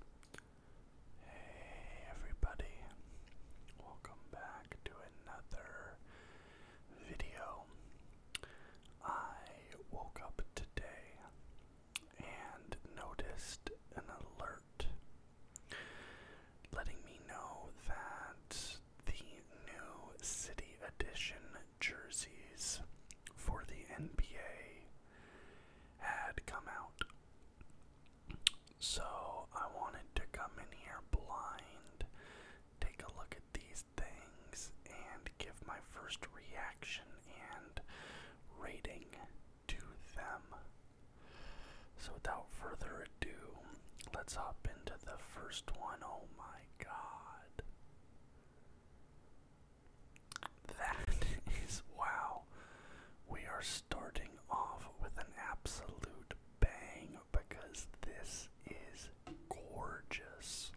Hey everybody, welcome back to another video. I woke up today and noticed an alert letting me know that the new City Edition jerseys for the NBA had come out. So I wanted to come in here blind, take a look at these things, and give my first reaction and rating to them. So without further ado, let's hop into the first one. Oh my god. That is wow. We are starting off with an absolute bang because this is gorgeous.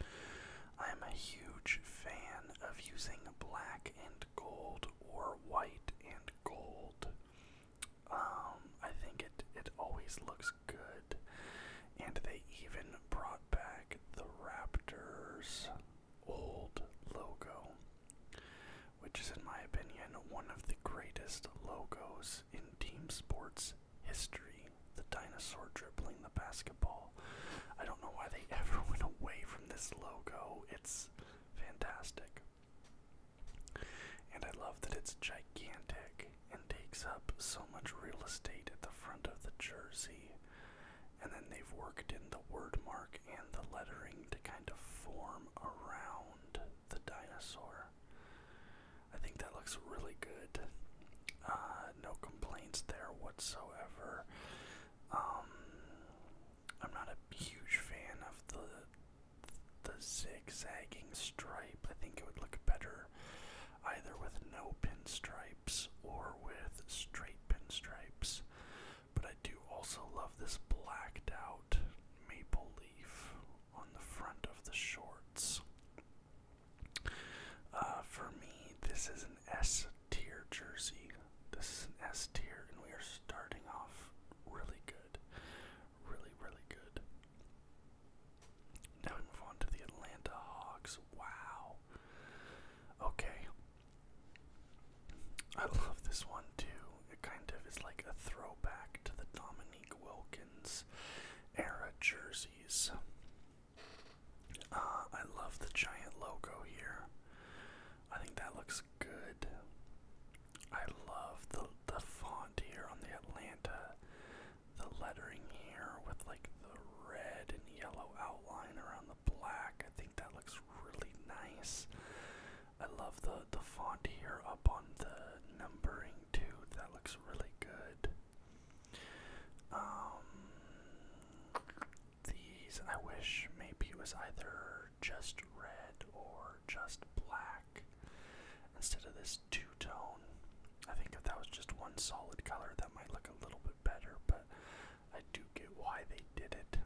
I am a huge fan of using black and gold or white and gold. Um, I think it it always looks good, and they even brought back the Raptors old logo, which is, in my opinion, one of the greatest logos in team sports history. The dinosaur dribbling the basketball. I don't know why they ever went away from this logo. It's fantastic. And I love that it's gigantic and takes up so much real estate at the front of the jersey. And then they've worked in the word mark and the lettering to kind of form around the dinosaur. I think that looks really good. Uh, no complaints there whatsoever. Um, I'm not a huge fan of the the zigzagging stripe. I think it would look better either with no pinstripes or with straight pinstripes. But I do also love this blacked out maple leaf on the front of the shorts. Uh, for me, this is an S tier jersey. This is an S tier, and we are starting off really good. Really, really good. Now we move on to the Atlanta Hawks. Wow. Okay. I love this one too. It kind of is like a throwback to the Dominique Wilkins era jerseys. Uh, I love the giant logo here. I think that looks good. I love the the font here on the Atlanta, the lettering here with like the red and yellow outline around the black. I think that looks really nice. I love the the font here up on the numbering too. That looks really good. Um, these I wish maybe it was either just red or just black instead of this two tone. I think if that was just one solid color, that might look a little bit better, but I do get why they did it.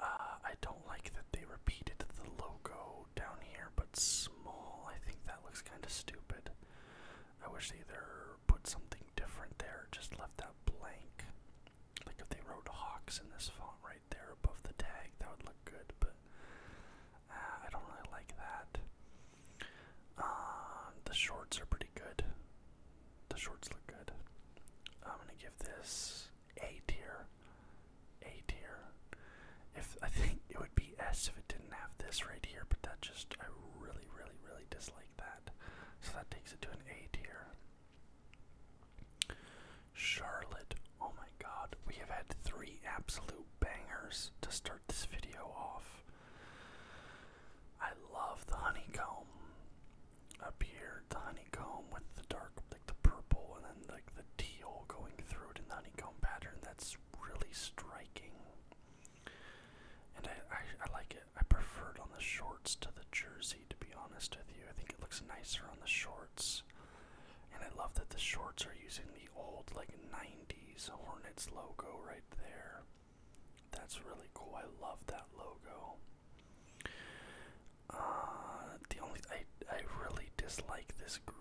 Uh, I don't like that they repeated the logo down here, but small. I think that looks kind of stupid. I wish they either put something different there, just left that blank. Like if they wrote Hawks in this font right there above the tag, that would look good, but uh, I don't really like that. Uh, the shorts are pretty good the shorts look good. I'm gonna give this A tier. A tier. If I think it would be S if it didn't have this right here, but that just I really, really, really dislike that. So that takes it to an A tier. Charlotte, oh my god, we have had three absolute bangers to start this video off. I love the honeycomb up here, the honeycomb with the dark, like the purple, and then like the teal going through it in the honeycomb pattern. That's really striking, and I, I I like it. I prefer it on the shorts to the jersey. To be honest with you, I think it looks nicer on the shorts. And I love that the shorts are using the old like '90s Hornets logo right there. That's really cool. I love that logo. Uh, the only I I really dislike this green.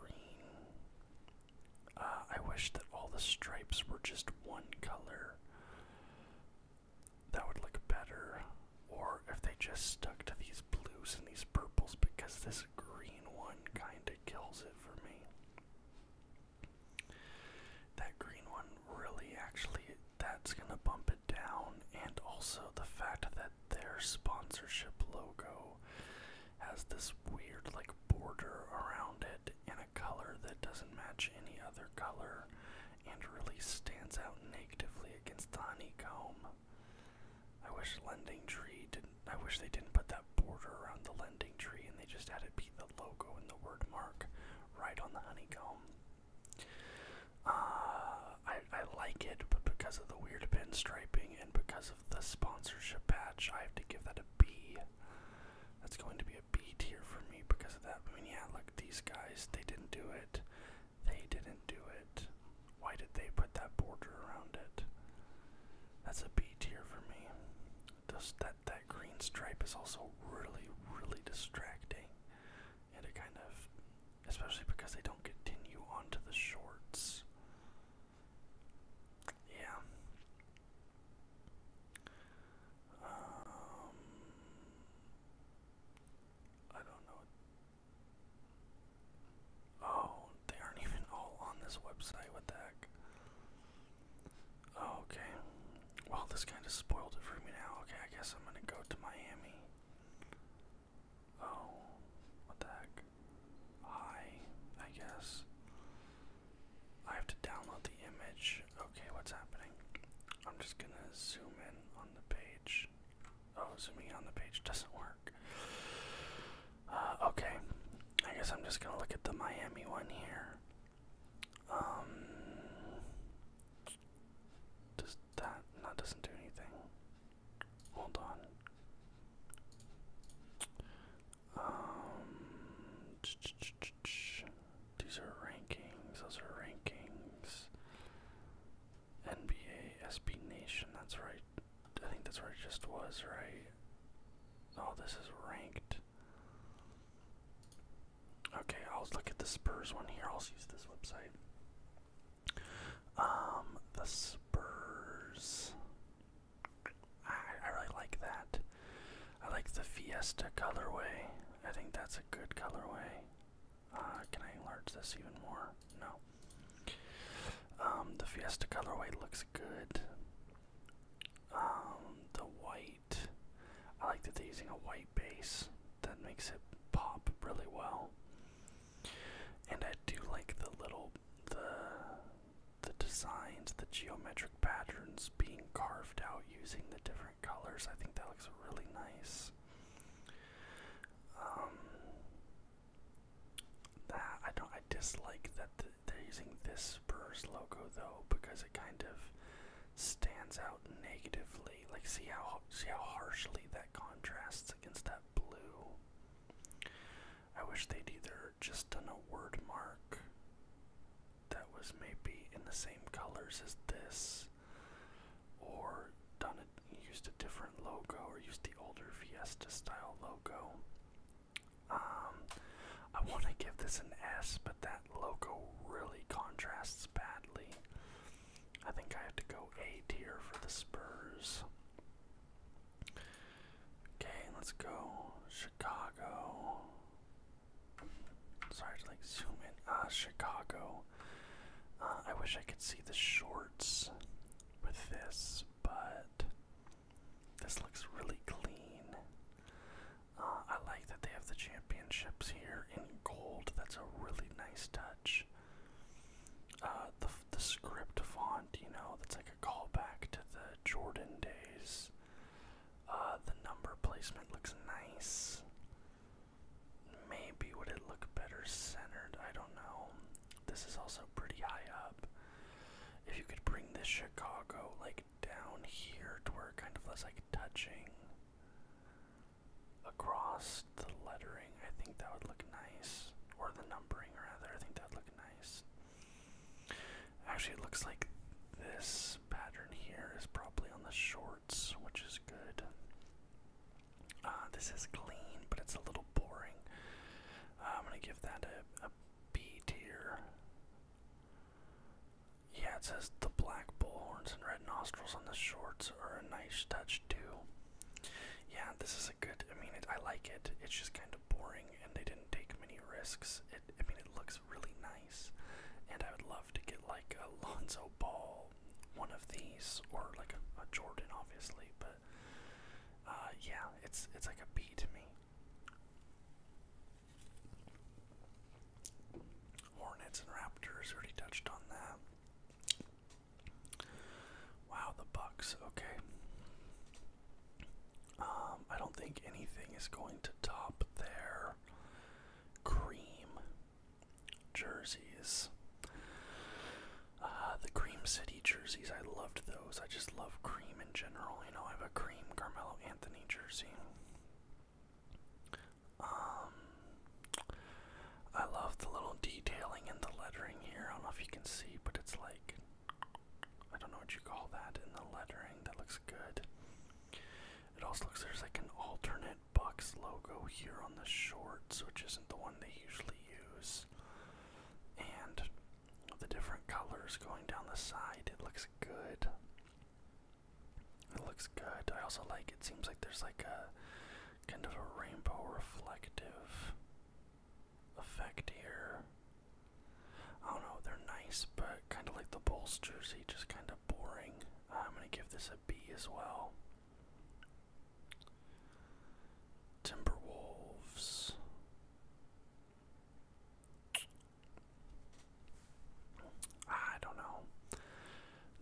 Uh, I wish that all the stripes were just one color. That would look better. Or if they just stuck to these blues and these purples, because this green one kind of kills it for me. That green one really actually, that's going to bump down, and also the fact that their sponsorship logo has this weird, like, border around it in a color that doesn't match any other color and really stands out negatively against the honeycomb. I wish Lending Tree didn't. I wish they didn't put that border around the Lending Tree and they just had it be the logo and the word mark right on the honeycomb. Uh, I, I like it, but because of the weird pinstriping and because of the sponsorship patch, I have to give that a B. That's going to be a B tier for me because of that. I mean, yeah, look, these guys, they didn't do it. They didn't do it. Why did they put that border around it? That's a B tier for me. Just that that green stripe is also really, really distracting and it kind of, especially because they don't continue onto the shorts. Yeah. Um, I don't know. Oh, they aren't even all on this website. What the heck? Oh, okay. Well, this kind of spoiled it for me now. Okay, I guess I'm gonna go to Miami. Oh, what the heck? Hi, I guess. I have to download the image. Okay, what's happening? I'm just gonna zoom in on the page. Oh, zooming on the page doesn't work. Uh, okay, I guess I'm just gonna look at the Miami one here. Um, does that that doesn't do anything? Hold on. Um, These are rankings. Those are rankings. NBA, SB Nation. That's right. I think that's where it just was, right? Oh, this is ranked. Okay, I'll look at the Spurs one here. I'll use this website. Um, the Spurs. I, I really like that. I like the Fiesta colorway. I think that's a good colorway. Uh, can I enlarge this even more? No. Um, the Fiesta colorway looks good. Um, the white. I like that they're using a white base that makes it pop really well. And I do like the little the the designs, the geometric patterns being carved out using the different colors. I think that looks really nice. Um, that I don't. I dislike that they're using this Spurs logo though because it kind of stands out negatively. Like see how see how harshly that contrasts against that blue. I wish they'd either just done a word mark that was maybe in the same colors as this or done it used a different logo or used the older Fiesta style logo. Um I want to give this an S, but that logo really contrasts Spurs badly. I think I have to go A tier for the Spurs. Okay, let's go Chicago. Sorry to like zoom in. Ah, uh, Chicago. Uh, I wish I could see the shorts with this, but this looks really clean. Uh, I like that they have the championships here leather gold. That's a really nice touch. Uh, the the script font, you know, that's like a callback to the Jordan days. Uh, the number placement looks nice. Maybe would it look better centered? I don't know. This is also pretty high up. If you could bring this Chicago like down here to where it kind of was like touching across the lettering. I think that would look nice. Or the numbering, rather. I think that would look nice. Actually, it looks like this pattern here is probably on the shorts, which is good. Uh, this is clean, but it's a little boring. Uh, I'm going to give that a B tier. Yeah, it says the black bull horns and red red nostrils on the shorts are a nice touch too. Yeah, this is a good. I mean, I like it. It's just kind of boring, and they didn't take many risks. It. I mean, it looks really nice, and I would love to get like a Lonzo Ball, one of these, or like a, Jordan, obviously. But uh, yeah, it's it's like a B to me. Hornets and Raptors already touched on that. Wow, the Bucks. Okay. Um, I don't think anything is going to top their cream jerseys. Uh, the Cream City jerseys, I loved those. I just love cream in general. You know, I have a cream Carmelo Anthony jersey. Um, I love the little detailing and the lettering here. I don't know if you can see, but it's like I don't know what you call that in the lettering. That looks good. It also looks there's like an alternate Bucks logo here on the shorts, which isn't the one they usually use. And the different colors going down the side, it looks good. It looks good. I also like it seems like there's like a kind of a rainbow reflective effect here. I don't know, they're nice, but kind of like the Bulls jersey, just kind of boring. Uh, I'm going to give this a B as well. Timberwolves. I don't know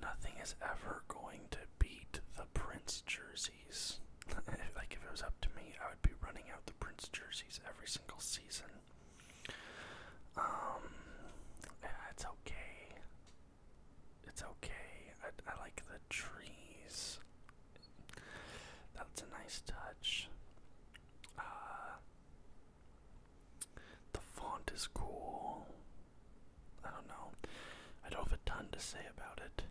nothing is ever going to beat the Prince jerseys. like if it was up to me, I would be running out the Prince jerseys every single season. Um, it's okay. It's okay. I, I like the trees. That's a nice touch. Uh, the font is cool. I don't know. I don't have a ton to say about it.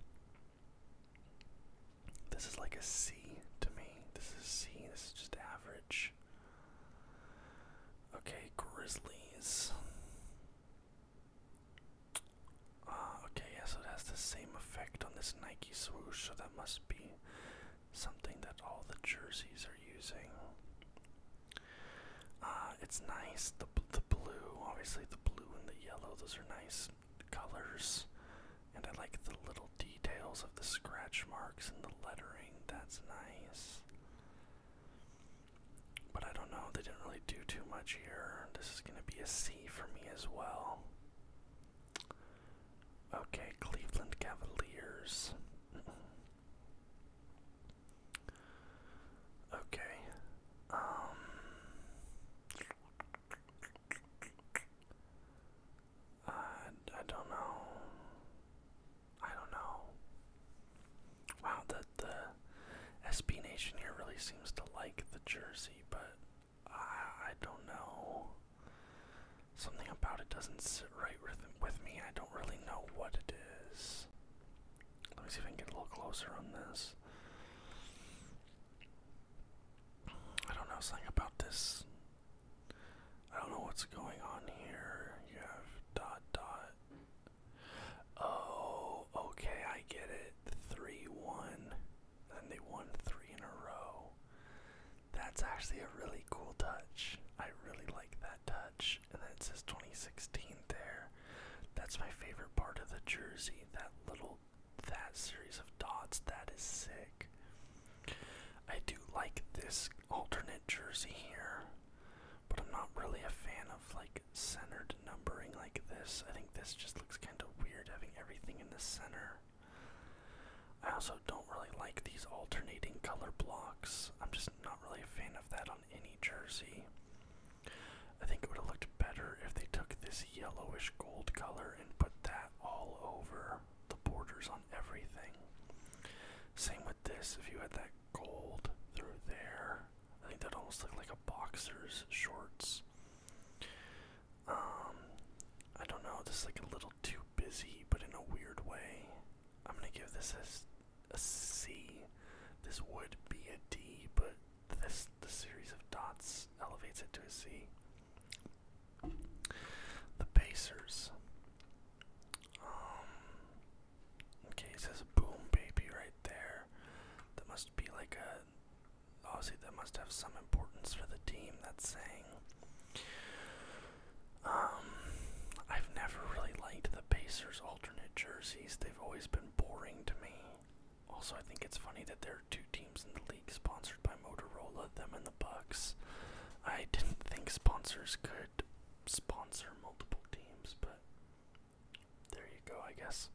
This is like a C to me. This is C. This is just average. Okay, Grizzlies. Uh, okay, yeah, so it has the same effect on this Nike swoosh, so that must be something that all the jerseys are using. Uh, it's nice. The the blue, obviously the blue and the yellow, those are nice colors. And I like the little details of the scratch marks and the lettering. That's nice. But I don't know, they didn't really do too much here. This is gonna be a C for me as well. Okay, Cleveland Cavaliers. Okay. Um I, I don't know. I don't know. Wow, the the SB Nation here really seems to like the jersey, but I I don't know. Something about it doesn't sit right with with me. I don't really know what it is. Let me see if I can get a little closer on this. I don't know something about this. I don't know what's going on here. You have dot dot. Oh, okay, I get it. 3 1. And they won three in a row. That's actually a really cool touch. I really like that touch and then it says 2016 there. That's my favorite part of the jersey. That little, that series of dots. That is sick. I do like this alternate jersey here, but I'm not really a fan of like centered numbering like this. I think this just looks kind of weird having everything in the center. I also don't really like these alternating color blocks. I'm just not really a fan of that on any jersey. I think it would have looked better if they took this yellowish gold color and put that all over the borders on everything. Same with this, if you had that gold through there, I think that almost looked like a boxer's shorts. Um, I don't know, this is like a little too busy, but in a weird way. I'm gonna give this a a C. This would be a D, but this the series of dots elevates it to a C. The Pacers. Um, okay, it says boom baby right there. That must be like a Oh, see, that must have some importance for the team that's saying. Um I've never really liked the Pacers alternate jerseys. They always been boring to me. Also, I think it's funny that there are two teams in the league sponsored by Motorola, them and the Bucks. I didn't think sponsors could sponsor multiple teams, but there you go, I guess.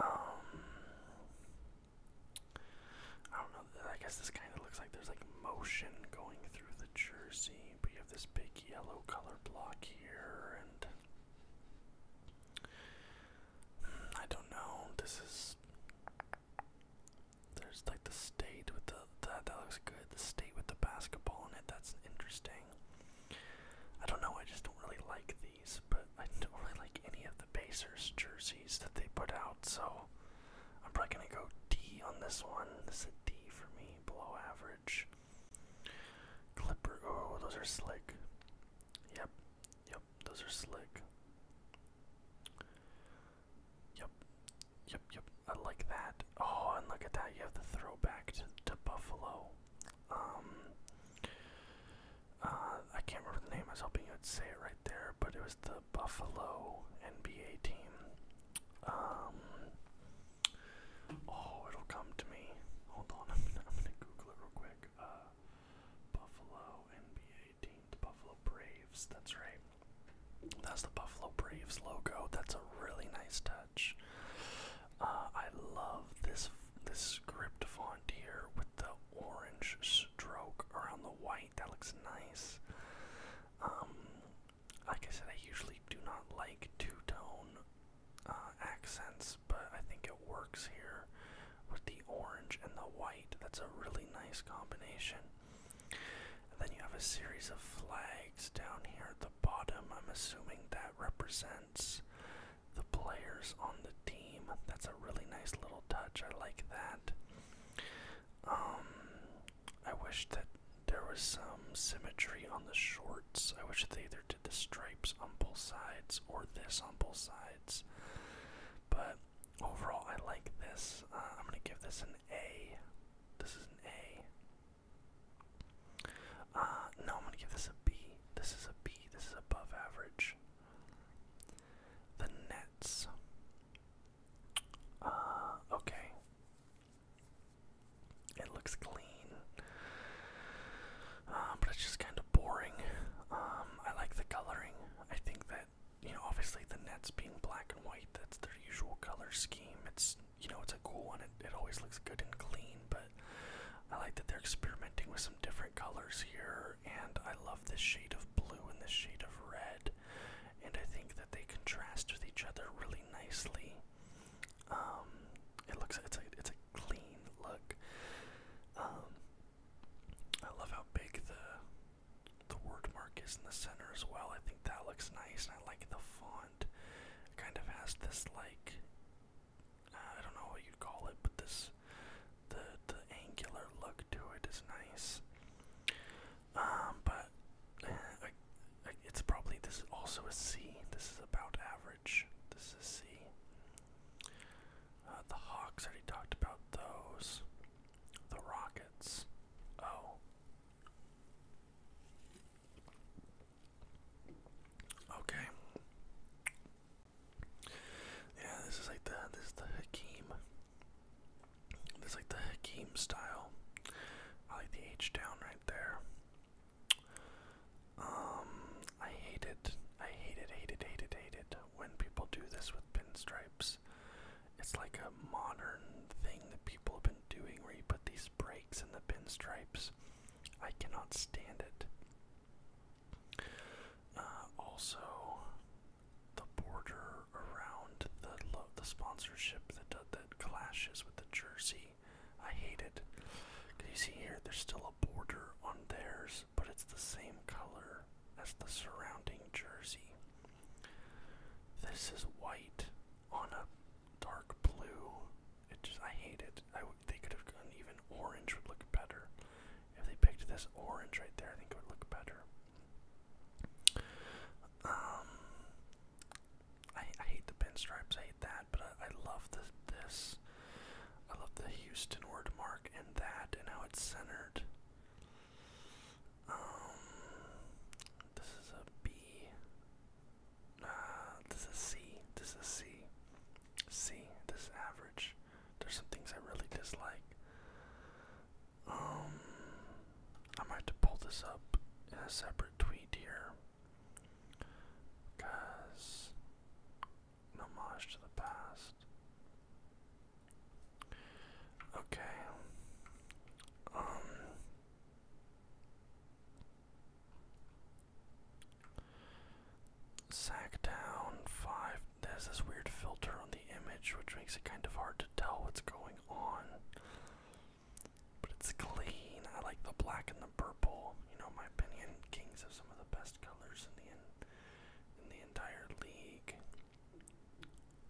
Um, I don't know. I guess this kind of looks like there's like motion going through the jersey, but you have this big yellow color block here, and I don't know. This is there's like the state with the that looks good. The state with the basketball in it. That's interesting. I don't know. I just don't really like these, but I don't really like any of the basers jerseys that they put out. So I'm probably gonna go D on this one. This is a D for me, below average. Coverage. Clipper. Oh, those are slick. Yep. Yep. Those are slick. Yep. Yep. Yep. I like that. Oh, and look at that. You have the throwback to, to Buffalo. Um. Uh, I can't remember the name. I was hoping you would say it right there, but it was the Buffalo NBA team. Um. Oh, it'll come to me. Hold on, I'm gonna, Google real quick. Uh, Buffalo NBA team, the Buffalo Braves. That's right. That's the Buffalo Braves logo. That's a really nice touch. Uh, I love this this script font here with the orange stroke around the white. That looks nice. Um, like I said, I usually do not like two tone uh, accents, but I think it works here with the orange and the white. That's a really nice combination. then you have a series of flags down here at the bottom. I'm assuming that represents the players on the team. That's a really nice little touch. I like that. Um, I wish that there was some symmetry on the shorts. I wish they either the stripes on both sides or this on both sides. But overall, I like this. Uh, I'm gonna give this an A. This is an A. Uh, no, I'm gonna give this a B. This is a B. This is above average. The Nets. Uh, okay. It looks clean, um, but it's just kind of boring. Um, I like the coloring. I think that you know, obviously the nets being black and white, that's their usual color scheme. It's you know, it's a cool one. It it always looks good and clean, but I like that they're experimenting with some different colors here, and I love this shade of blue and this shade of red, and I think that they contrast with each other really nicely. Um, it looks it's a it's a clean look. Um, I love how big the the word mark is in the center as well. I think that looks nice, and I like the font. It kind of has this like I don't know what you'd call it, but this the the angular look to it is nice. Um, but eh, it's probably this is also a C. This is about average. This is C. Uh, the Hawks already talked about those. The Rockets. Oh. Okay. Yeah, this is like the this is the Hakeem. This is like the Hakeem style. I like the H down right there. Um, I hate it. I hate it, hate it, hate it, hate it when people do this with pinstripes. It's like a modern thing that people have been doing where you put these breaks in the pinstripes. I cannot stand it. Uh, also, the border around the the sponsorship that that clashes with the jersey I hate it. Can you see here? There's still a border on theirs, but it's the same color as the surrounding jersey. This is white on a dark blue. It just I hate it. they could have gone even orange would look better. If they picked this orange right there, I think it would look better. Um, I, I hate the pinstripes. I hate that but I, love the, this. I love the Houston word mark and that and how it's centered. Um, this is a B. Uh, this is a C. This is a C. C. This is average. There's some things I really dislike. Um, I might have to pull this up in a separate tweet here. Because homage to the past. Okay. Um Sacktown five there's this weird filter on the image which makes it kind of hard to tell what's going on. But it's clean. I like the black and purple. You know, my opinion, Kings have some of the best colors in the in, the entire league.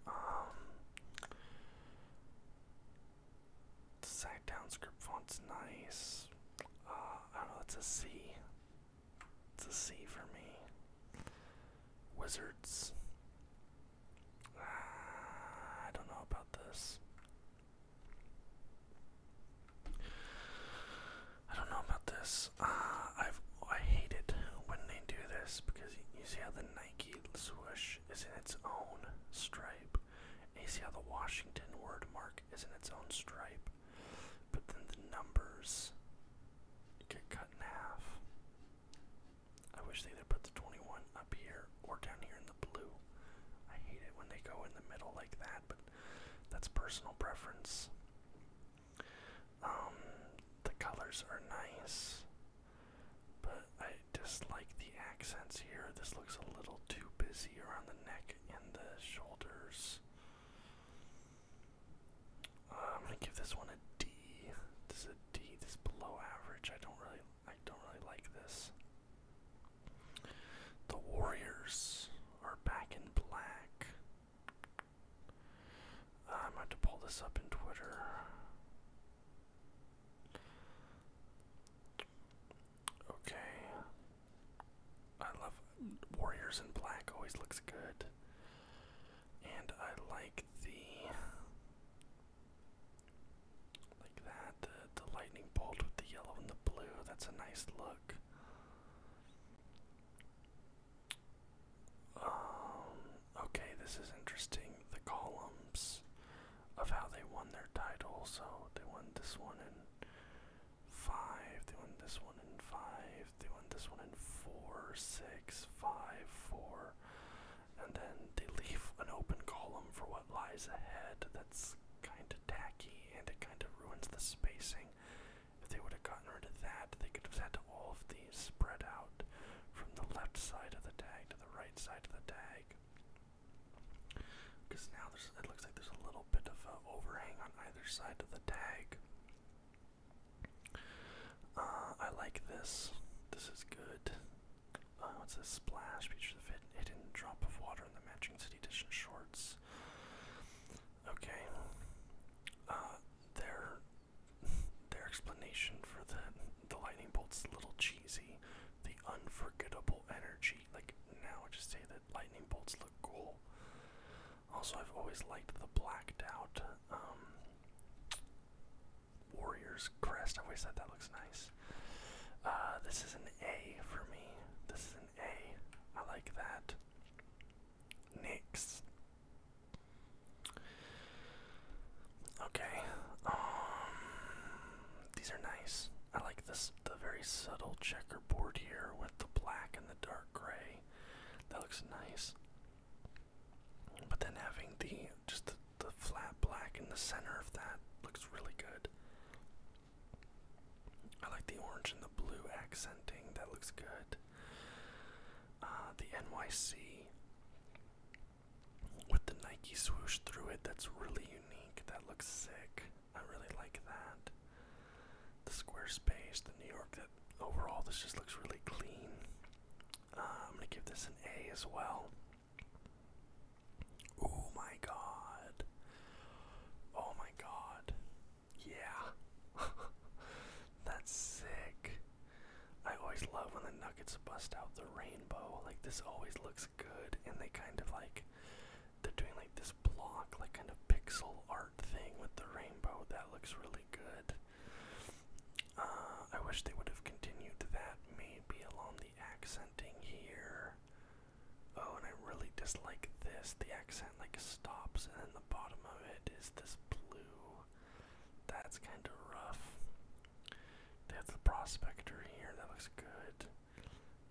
Um, the Sacktown script font's nice. Uh, I don't know. It's a C. It's a C for me. Wizards. Ah, I don't know about this. I don't know about this. Uh, i I hate it when they do this because you see how the Nike swoosh is in its own stripe, and you see how the Washington word mark is in its own stripe, but then the numbers get cut in half. I wish they either put the 21 up here or down here in the blue. I hate it when they go in the middle like that but that's personal preference. Um, the colors are nice, but I dislike the accents here. This looks a little too busy around the neck and the shoulders. Uh, I'm gonna give this one a D. This is a D. This is below average. I don't really, I don't really like this. The Warriors are back in black. Uh, I'm about to pull this up in Twitter. Okay. I love Warriors in black, always looks good. And I like the like that, the the lightning bolt with the yellow and the blue, that's a nice look. Um, okay, this is interesting. The columns of how they won their title. So they won this one in five. They won this one in five. They won this one in four, six, five, four, and then they leave an open column for what lies ahead. That's kind of tacky, and it kind of ruins the spacing. If they would have gotten rid of that, they could have had all of these spread out from the left side of the tag to the right side of the tag. Because now there's, it looks like there's a little bit of an overhang on either side of the tag. Uh, I like this. This is good. Uh, what's this? Splash features the hidden drop of water in the matching City Edition shorts. Okay. Uh, their their explanation for the the lightning bolt's a little cheesy. The unforgettable energy. Like now, I just say that lightning bolts look cool. Also, I've always liked the blacked out um, warrior's crest. I always thought that looks nice. Uh, this is an A for me. This is an an A. I like that. Next. Okay. Um these are nice. I like this the very subtle checkerboard here with the black and the dark gray. That looks nice. But then having the just the flat black in the center of that looks really good. I like the orange and the blue accenting. That looks good. Uh, the NYC with the Nike swoosh through it. That's really unique. That looks sick. I really like that. The Squarespace, the New York. That overall, this just looks really clean. Uh, I'm gonna give this an A as well. Oh my god. Oh my god. Yeah. That's sick. I always love when the Nuggets bust out the rainbow. Like, this always looks good, and they kind of like. They're doing like this block, like kind of pixel art thing with the rainbow. That looks really good. Uh, I wish they would have continued that maybe along the accenting here. Oh, and I really dislike this. The accent like stops, and then the bottom of it is this blue. That's kind of rough. They have the prospector here. That looks good.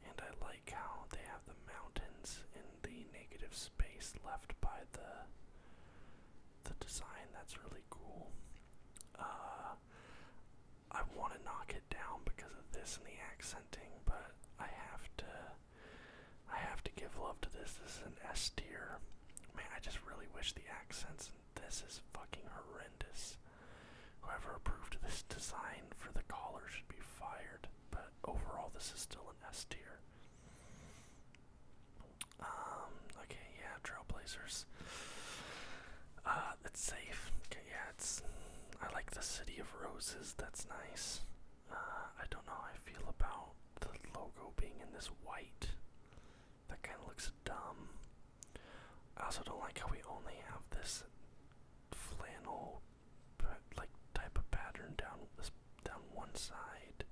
And I like how they have the mountains in the negative space left by the the design. That's really cool. Uh, I want to knock it down because of this and the accenting, but I have to I have to give love to this. This is an S tier. Man, I just really wish the accents in this is fucking horrendous. Whoever approved this design for the collar should be fired. But overall, this is still an S tier. Um. Okay. Yeah. Trailblazers. Uh. It's safe. Okay. Yeah. It's. I like the City of Roses. That's nice. I don't know how I feel about the logo being in this white. That kind of looks dumb. I also don't like how we only have this flannel, like type of pattern down this down one side.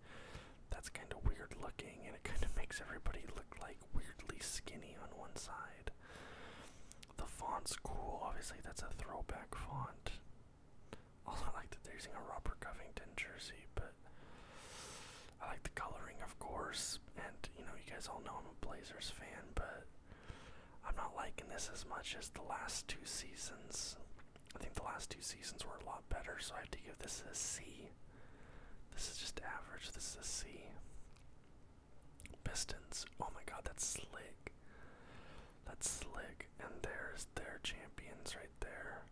That's kind of weird looking, and it kind of makes everybody look like weirdly skinny on one side. The font's cool, obviously that's a throwback font. Also, I like that they're using a Robert Covington jersey, but I like the coloring, of course. And you know, you guys all know I'm a Blazers fan, but I'm not liking this as much as the last two seasons. I think the last two seasons were a lot better, so I have to give this a C. This is just average. This is a C. Pistons. Oh my god, that's slick. That's slick. And there's their champions right there.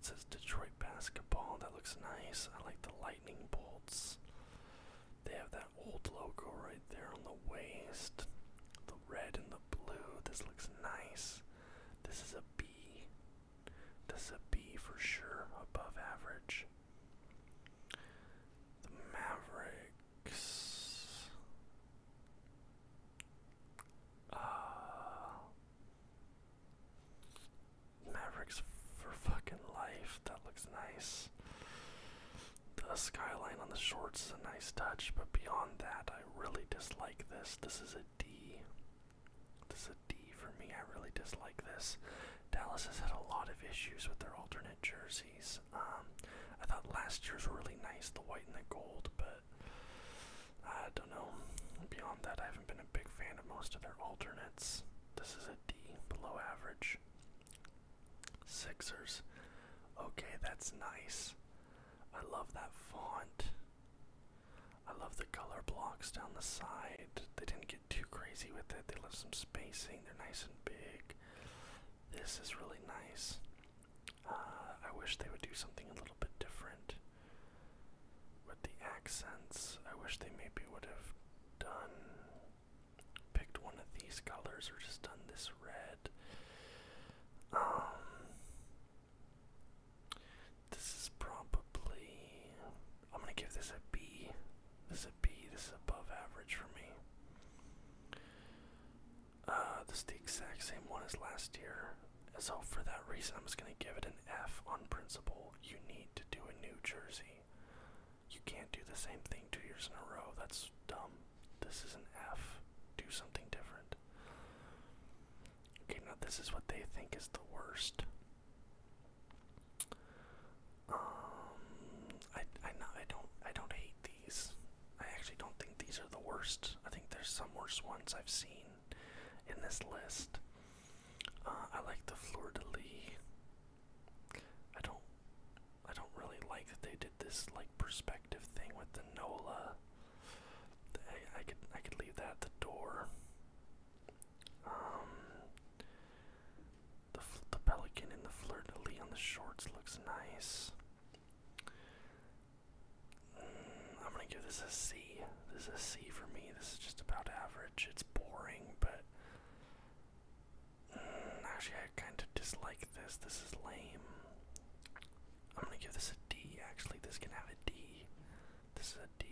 It says Detroit basketball. That looks nice. I like the lightning bolts. They have that old logo right there on the waist. The red and the blue. This looks nice. This is a B. This is a B for sure. Above average. The Maverick. Uh, Mavericks for fucking life. That looks nice. The skyline on the shorts is a nice touch, but beyond that, I really dislike this. This is a D. This is a D for me. I really dislike this. Dallas has had a lot of issues with their alternate jerseys. Um, I thought last year's were really nice, the white and the gold, but I don't know. Beyond that, I haven't been a big fan of most of their alternates. This is a D, below average. Sixers. Okay, that's nice. I love that font. I love the color blocks down the side. They didn't get too crazy with it. They left some spacing. They're nice and big. This is really nice. Uh, I wish they would do something a little bit different with the accents. I wish they maybe would have done picked one of these colors or just done this red. Um, this is probably I'm gonna give this a B. This a B. This is above average for me. Uh, this is the exact same one as last year. So for that reason, I'm just gonna give it an F on principle. You need to do a new jersey. You can't do the same thing two years in a row. That's dumb. This is an F. Do something different. Okay, now this is what they think is the worst. Um, I I not I don't I don't hate these. I actually don't think these are the worst. I think there's some worse ones I've seen in this list. Uh, I like the fleur de lis. I don't. I don't really like that they did this like perspective thing with the Nola. I, could I could leave that at the door. Um, the the pelican in the fleur de lis on the shorts looks nice. I'm gonna give this a C. This is a C for me. This is just about average. It's boring, but mm, actually, I kind of dislike this. This is lame. I'm gonna give this a D. Actually, this can have a D. This is a D.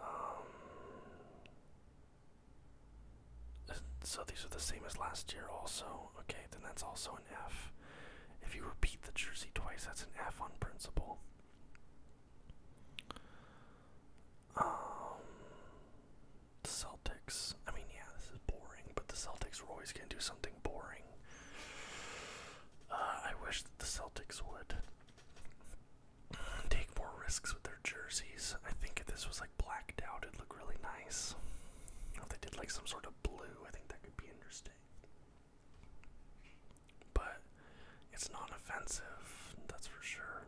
Um, so these are the same as last year, also. Okay, then that's also an F. If you repeat the jersey twice, that's an F on principle. Um, the Celtics. I mean, yeah, this is boring, but the Celtics were always going to do something boring. Uh, I wish the Celtics would take more risks with their jerseys. I think if this was like blacked out, it'd look really nice. If they did like some sort of blue, I think that could be interesting. But it's non offensive, that's for sure.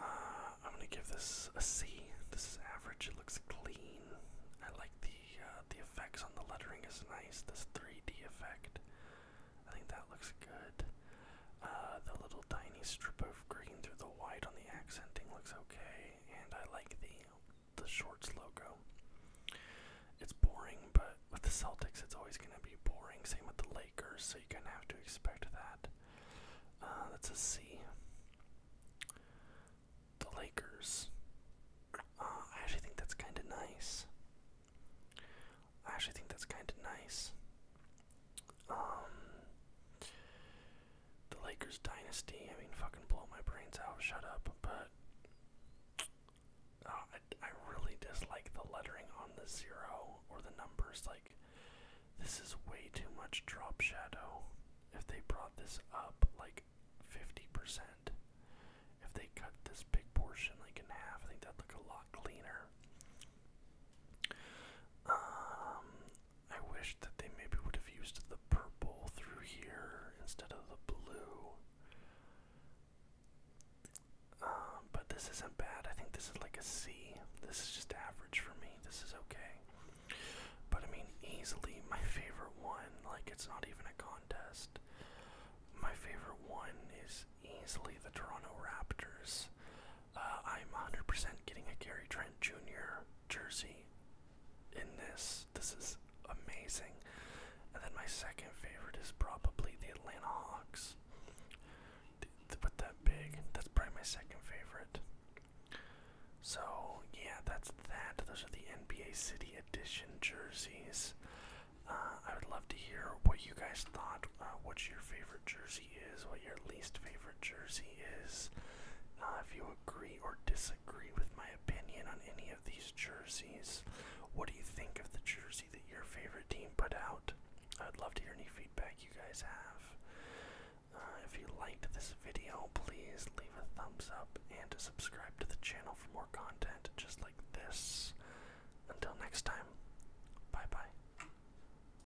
Uh, I'm gonna give this a C. This is average. It looks clean. I like the uh, the effects on the lettering is nice. This 3D effect, I think that looks good. Uh, the little tiny strip of green through the white on the accenting looks okay, and I like the the shorts logo. It's boring, but with the Celtics, it's always going to be boring. Same with the Lakers, so you kind of have to expect that. Uh, that's a C. The Lakers. Uh, I actually think that's kind of nice. I actually think that's kind of nice. Um, the Lakers dynasty. I mean, fucking blow my brains out. Shut up. But uh, I, I really dislike the lettering on the zero or the numbers. Like, this is way too much drop shadow. If they brought this up like 50%, if they cut this big portion like in half, I think that'd look a lot cleaner. Um, I wish that they maybe would have used the purple through here instead of the blue. Um, but this isn't bad. I think this is like a C. This is just average for me. This is okay. But I mean, easily my favorite one. Like, it's not even a contest. My favorite one is easily the Toronto Raptors. Uh, I'm 100% getting a Gary Trent Jr. jersey in this. This is amazing. And then my second favorite is probably the Atlanta Hawks. But that big, that's probably my second favorite. So, yeah, that's that. Those are the NBA City Edition jerseys. Uh, I would love to hear what you guys thought. Uh, what's your favorite jersey? is, what your least favorite jersey is, uh, if you agree or disagree with my opinion on any of these jerseys, what do you think of the jersey that your favorite team put out? I'd love to hear any feedback you guys have. Uh, if you liked this video, please leave a thumbs up and subscribe to the channel for more content just like this. Until next time, bye bye.